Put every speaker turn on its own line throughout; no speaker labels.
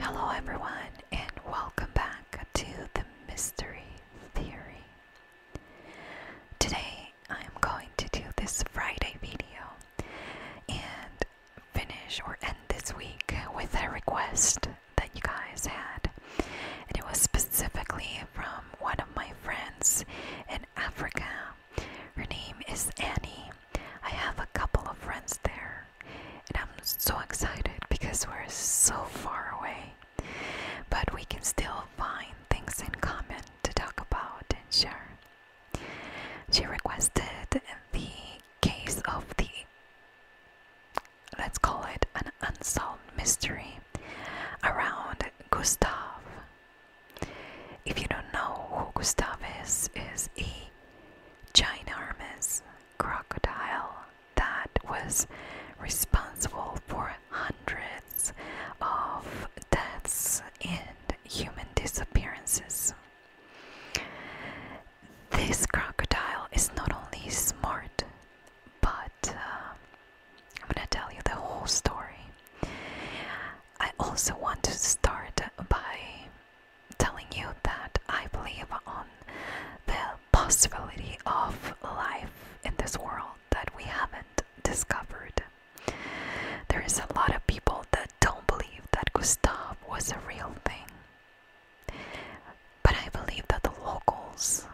Hello, everyone, and welcome back to the Mystery Theory. Today, I am going to do this Friday video and finish or end this week with a request that you guys had. And it was specifically from one of my friends in Africa. Her name is Annie. I have a couple of friends there, and I'm so excited because we're so far away. But we can still find things in common to talk about and share. She requested the case of the, let's call it an unsolved mystery around Gustav. If you don't know who Gustav is, is a giant ginormous crocodile that was responsible for hundreds of deaths and human disappearances. This crocodile is not only smart, but uh, I'm gonna tell you the whole story. I also want to start by telling you that I believe on the possibility of life in this world that we haven't discovered. There is a lot of people that don't believe that Gustav was a real thing. But I believe that the locals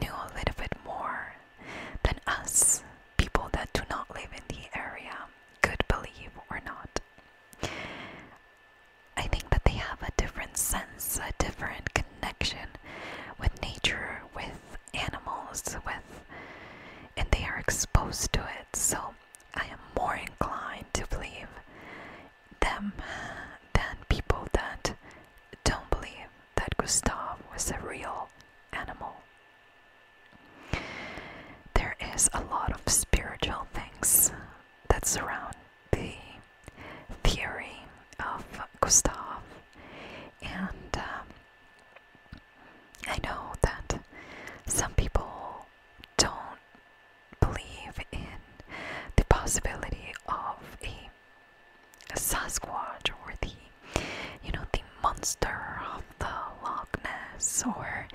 knew a little bit more than us, people that do not live in the area, could believe or not. I think that they have a different sense, a different connection with nature, with animals with and they are exposed to it so i am more inclined to believe them than people that don't believe that gustav was a real animal there is a lot of spiritual things that surround the theory of gustav and um, I know that some people don't believe in the possibility of a, Sasquatch or the, you know, the monster of the Loch Ness or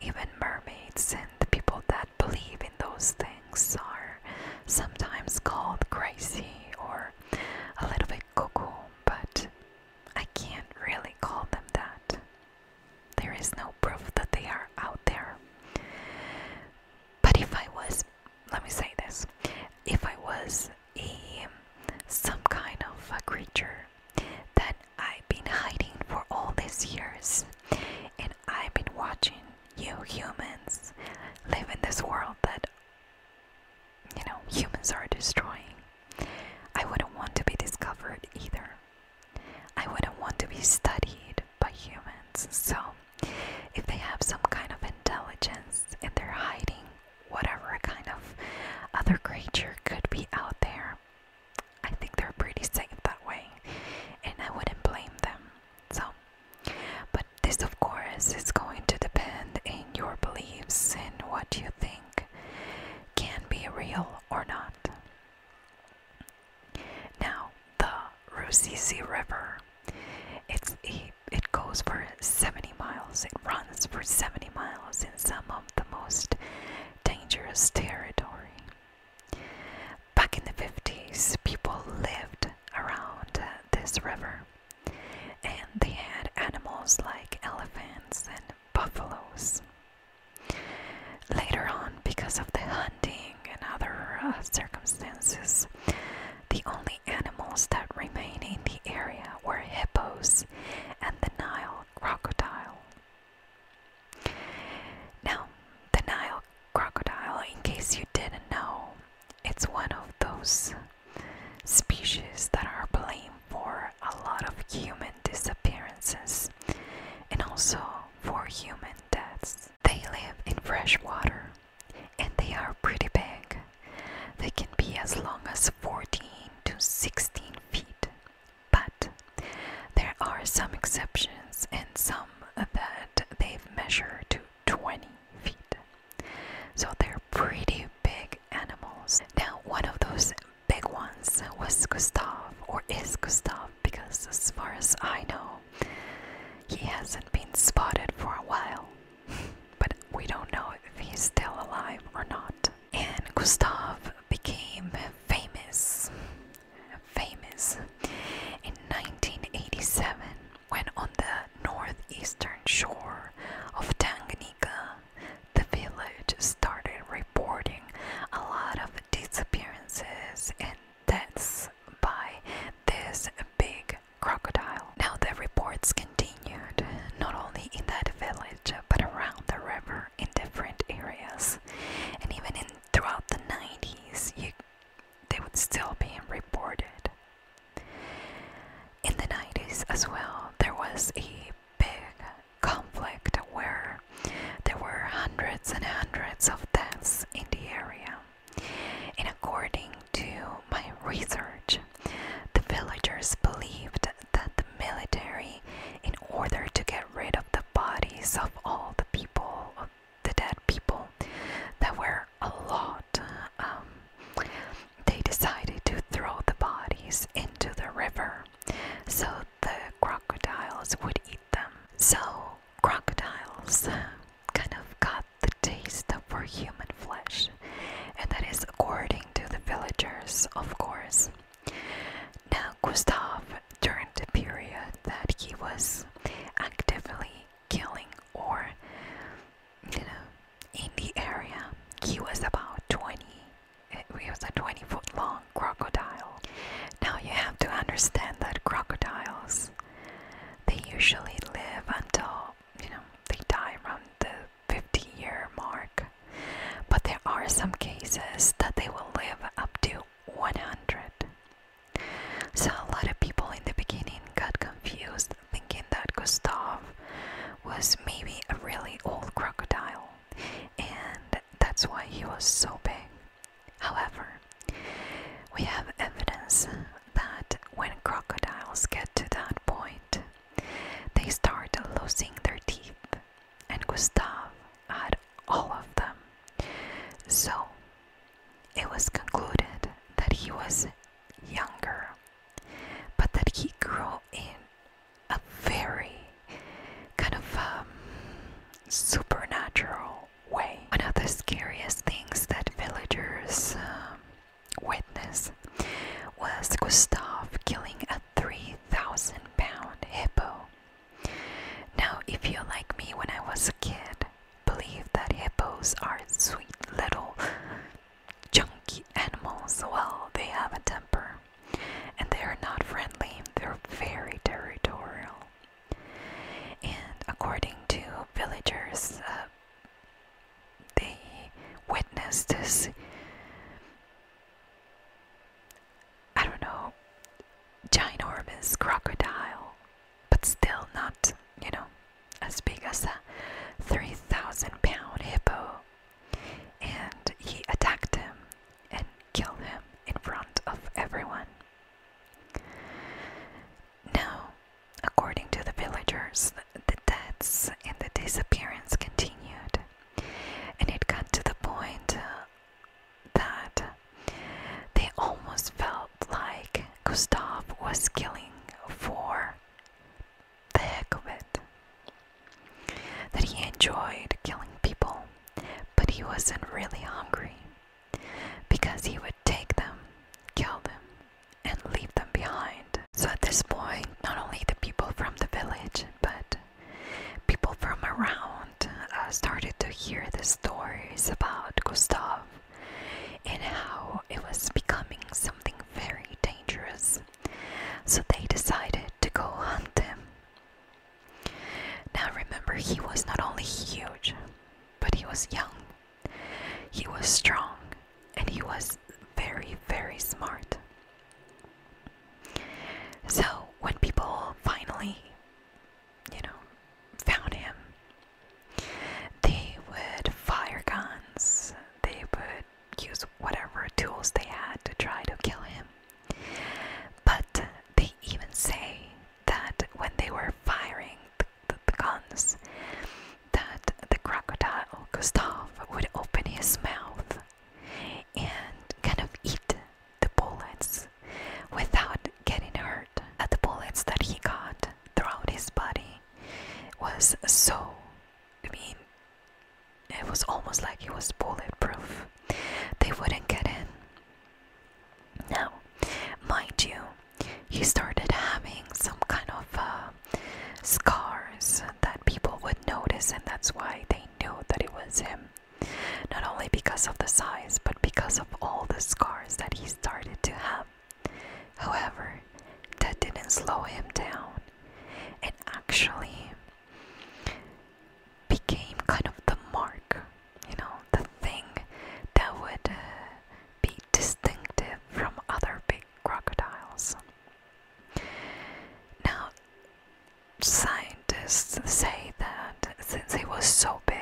even mermaids, and people that believe in those things are sometimes called crazy or a little bit cuckoo, but I can't really call them that. There is no proof that they are out there. But if I was, let me say this, if I was a some kind of a creature that I've been hiding for all these years, and I've been watching you humans live in this world that you know, humans are destroying. I wouldn't want to be discovered either. I wouldn't want to be studied by humans. So, if they have some kind of intelligence and they're hiding whatever kind of other creature could be out there, I think they're pretty safe that way. And I wouldn't blame them. So, but this, of course, is going to depend in your beliefs and what you think can be real or not. Now, the Rusizi River. It's a, it goes for 70 miles. It runs for 70 miles in some of the most dangerous territory. Back in the 50s, people lived around this river and they had animals like elephants and buffaloes. Later on, because of the hunting and other uh, circumstances, the only animals that remain in the area were hippos and the Nile crocodile. Now, the Nile crocodile, in case you didn't know, it's one of those species that are blamed for a lot of human disappearances and also for human deaths. They live in fresh water and they are pretty big. They can be as long as 14 to 16 feet, but there are some exceptions and some that they've measured to 20 feet. So they're pretty big animals. Now, one of those big ones was Gustav, or is Gustav, because as far as I know, he hasn't been spotted for a while. but we don't know if he's still alive or not. And Gustav became famous, famous in 1987 when on the northeastern shore of Tanganyika the village started reporting a lot of disappearances and that's by this big crocodile. Now, the reports continued not only in that village but around the river in different areas, and even in throughout the 90s, they would still be reported. In the 90s, as well, there was a big conflict where there were hundreds and hundreds of deaths in the area. And according to my research, the villagers believed that the military, in order to get rid of the bodies of all the people, of the dead people, that were a lot, um, they decided to throw the bodies into the river so the crocodiles would eat them. So, crocodiles kind of got the taste for human flesh, and that is according to the villagers, of course. Now, Gustav, during the period that he was actively killing or, you know, in the area. He was about 20. He was a 20 foot long crocodile. Now you have to understand that crocodiles, they usually live until, you know, they die around the 50 year mark. But there are some cases that they will live up to 100. So a lot of people in the beginning got confused thinking that Gustav was maybe a really old crocodile, and that's why he was so big. However, we have evidence that when crocodiles get to that point, they start losing their teeth, and Gustav had all of them. So it was concluded that he was younger, but that he grew in a very kind of um, supernatural way. One of the scariest things that villagers um, witnessed was Gustave killing a 3,000 pound hippo. Now, if you're like me when I was a kid, believe that hippos are sweet little chunky animals, well, they have a temper. And they are not friendly, they're very territorial. And according to villagers, uh, they witnessed this I don't know, ginormous crocodile, but still not, you know, as big as a 3,000 pound hippo and he attacked him and killed him in front of everyone. Now, according to the villagers, the deaths and the disappearance continued, and it got to the point uh, that they almost felt like Gustav was killing for the heck of it. That he enjoyed killing people, but he wasn't really hungry because he would take them, kill them, and leave them behind. So at this point, not only the people from the village, but people from around uh, started to hear the stories about Gustav and how it was becoming something very dangerous so they decided to go hunt him. Now remember, he was not only huge, but he was young, he was strong, and he was very, very smart. So when people finally, you know, found him, they would fire guns, they would use whatever tools they had to try to kill him. But they even say that when they were firing the, guns, that the crocodile Gustav would open his mouth and kind of eat the bullets without getting hurt. That the bullets that he got throughout his body was so, I mean, it was almost like he was bulletproof. They wouldn't get in. Now, mind you, he started having some kind of uh, scars that people would notice, and that's why they knew that it was him. Not only because of the size, but because of all the scars that he started to have. However, that didn't slow him down and actually became kind of the mark, you know, the thing that would uh, be distinctive from other big crocodiles. Now, scientists say that since he was so big,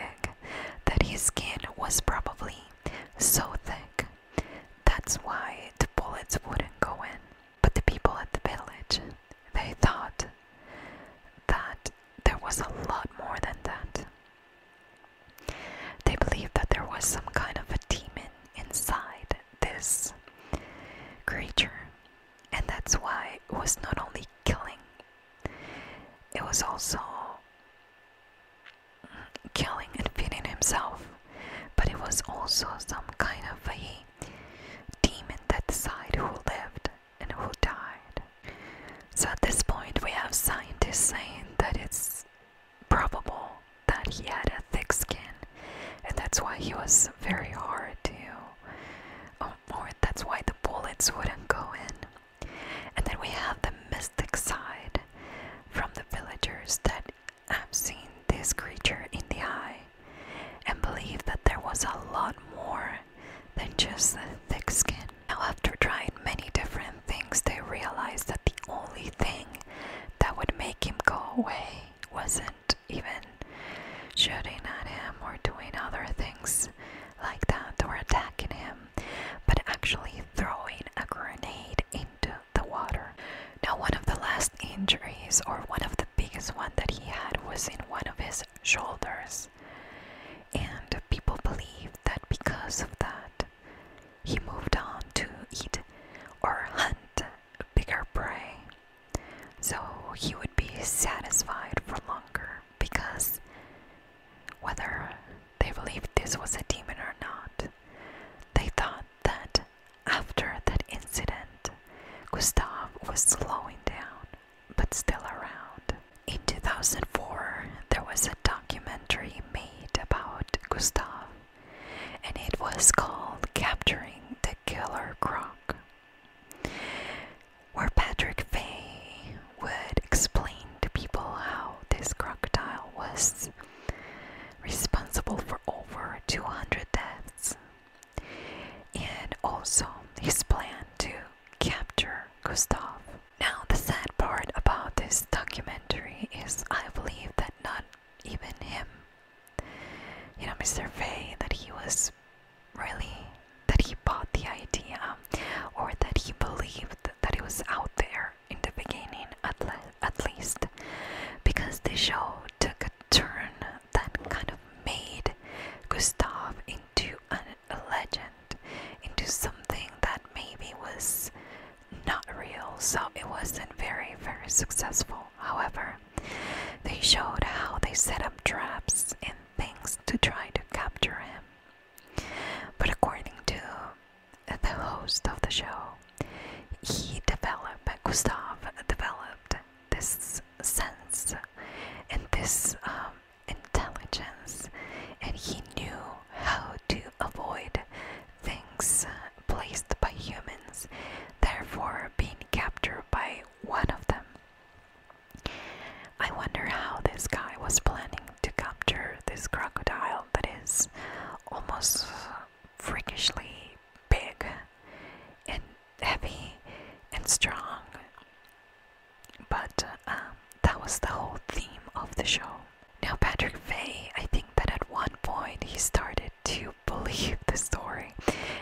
that his skin was probably so thick. That's why the bullets wouldn't go in. But the people at the village, they thought that there was a lot more than that. They believed that there was some kind of a demon inside this creature, and that's why it was not only killing, it was also killing and feeding himself, but it was also some kind of a demon that decided who lived and who died. So at this point, we have scientists saying that it's probable that he had a thick skin, and that's why he was very hard to. Oh, or that's why the bullets wouldn't go in. And then we have the mystic side from the villagers that I've seen this creature in the eye and believe that there was a lot more than just the thick skin. Now, after trying many different things, they realized that the only thing that would make him go away wasn't even shooting at him or doing other things like that or attacking him, but actually throwing a grenade in the water. Now, one of the last injuries, or one of the biggest one that he had, was in one of his shoulders. And people believe that because of that, he moved on to eat or hunt bigger prey. So he would be satisfied for longer because whether they believed this was a demon or not, they thought that after that incident, Gustav was slowing down, but still around. In 2004, there was a documentary made about Gustav, and it was called Capturing the Killer Croc, where Patrick Fay would explain to people how this crocodile was responsible for over 200 deaths and also his plan to capture Gustav. Now, the sad part about this documentary is I believe that not even him, you know, Mr. Fay, that he was really, that he bought the idea or that he believed that he was out there in the beginning, at, at least, because the show took a turn that kind of made Gustav into a legend, into something that maybe was not real, so it wasn't very, very successful. However, they showed how they set up traps and things to try to capture him. But according to the host of the show, he developed, Gustav developed this sense and this um, intelligence, and he knew how to avoid things placed by humans, therefore being captured by one of them. I wonder how this guy was planning to capture this crocodile that is almost freakishly big and heavy and strong. But um, that was the whole theme of the show. Now, Patrick Fay, I think that at one point he started to believe the story,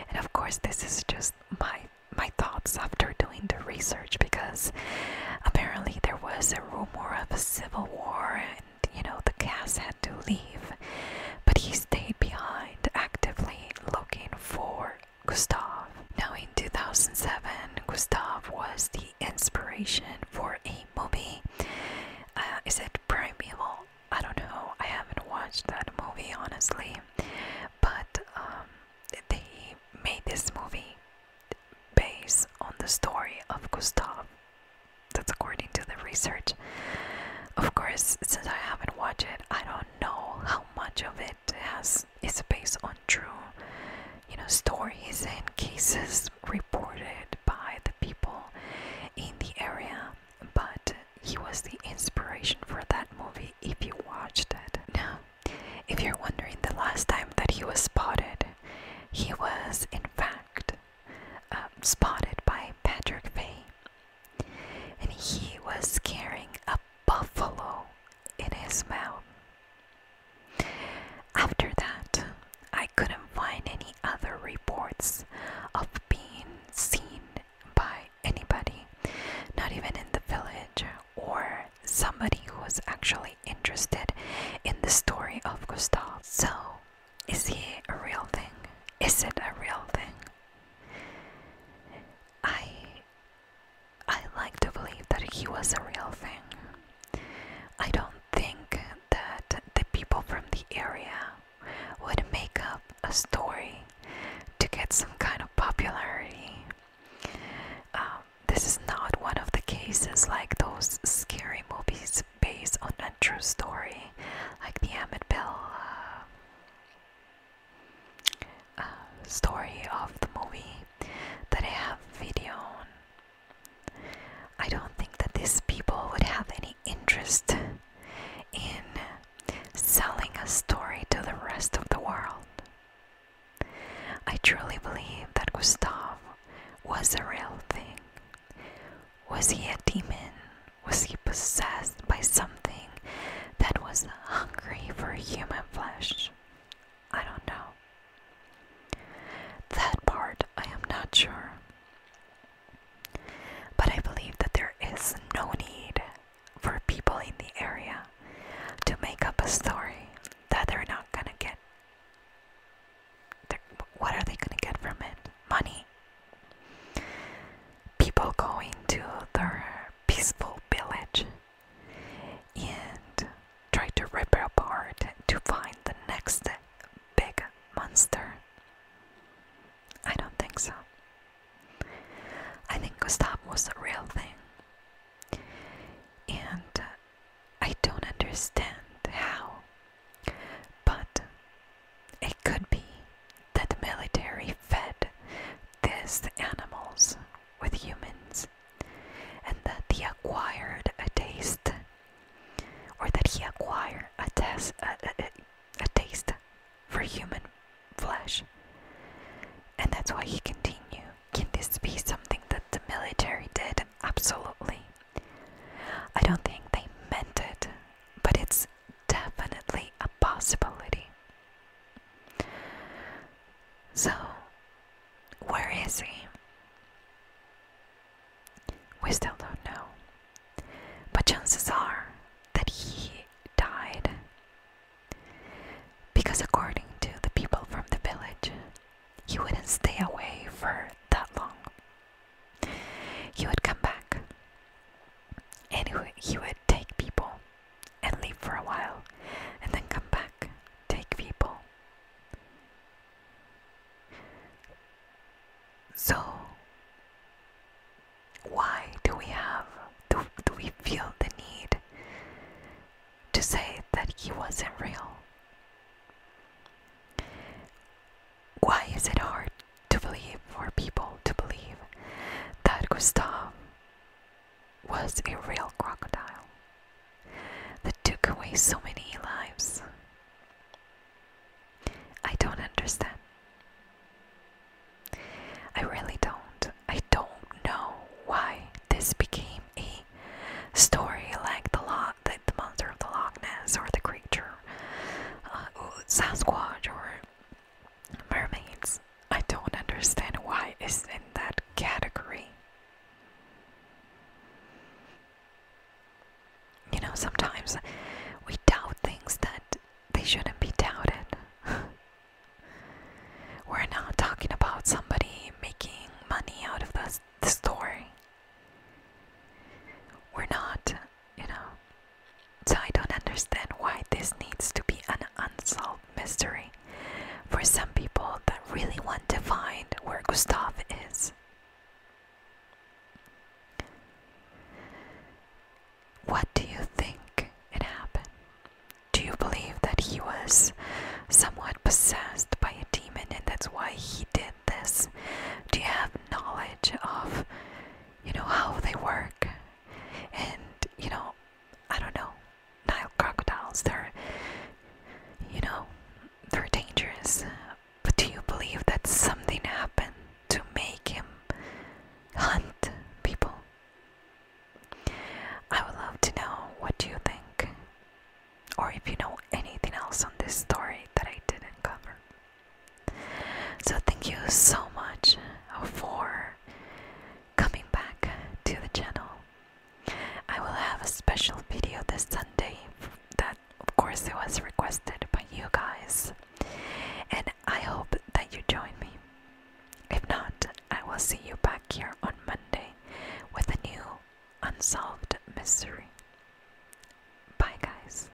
and of course, this is just my my thoughts after doing the research because apparently there was a rumor of a civil war you know, the cast had to leave, but he stayed behind, actively looking for Gustav. Now, in 2007, Gustav was the inspiration for a movie. Uh, is it Primeval? I don't know. I haven't watched that movie, honestly. But um, they made this movie based on the story of Gustav that's according to the research. Of course, since I haven't watched it, I don't know how much of it has is based on true, you know, stories and cases reported by the people in the area. But he was the inspiration for that movie. If you watched it, now, if you're wondering, the last time that he was spotted, he was in fact um, spotted by Patrick Fay. And he was carrying a buffalo in his mouth. After that, I couldn't find any other reports of being seen by anybody, not even in the village or somebody who was actually interested in the story of Gustav. So is he a real thing? Is it a real thing? I I like to believe that he was a real thing. I don't think that the people from the area would make up a story to get some kind of popularity. Um, this is not one of the cases like those scary movies based on a true story, like the Emmett Bell uh, uh, story of the movie that I have video on. I don't think that these people would have any interest in selling a story to the rest of the world. I truly believe that Gustave was a real thing. Was he a demon? was he possessed by something that was hungry for human flesh? I don't know. That part I am not sure. But I believe that there is no need for people in the area to make up a story that they're not gonna get. What are they gonna get from it? Money? People going to their peaceful village and try to rip it apart to find the next big monster. I don't think so. I think Gustav was the real thing. And I don't understand how but it could be that the military fed this animals with humans and that he acquired a taste or that he acquired a, a taste for human flesh. And that's why he continued. Can this be something that the military did? Absolutely. I don't think they meant it, but it's definitely a possibility. So, where is he? We still don't know. But chances are that he died. Because, according to the people from the village, he wouldn't stay away for that long. He would come back and he would take people and leave for a while and then come back, take people. So, why do we have, do, do we feel the need to say that he wasn't real? Why is it hard to believe, for people to believe, that Gustav was a real crocodile that took away so many lives? I don't understand. I really don't. I don't know why this became a story like the, lo the, the monster of the Loch Ness or the creature uh, Sasquatch or mermaids. I don't understand why it's in that category. You know, sometimes we doubt things that they shouldn't be doubted. We're not talking about somebody making money out of the, story. We're not you know. So I don't understand why this needs to be an unsolved mystery for some people that really want to find where Gustav is. What do you think it happened? Do you believe that he was somewhat possessed by a demon and that's why he did this? Do you have knowledge of you know how they work and you know I don't know Nile crocodiles they're you know they're dangerous but do you believe that something happened to make him hunt people? I would love to know what do you think or if you know anything else on this story that I didn't cover. So, thank you so much for coming back to the channel. I will have a special video this Sunday that, of course, it was requested by you guys, and I hope that you join me. If not, I will see you back here on Monday with a new unsolved mystery. Bye, guys.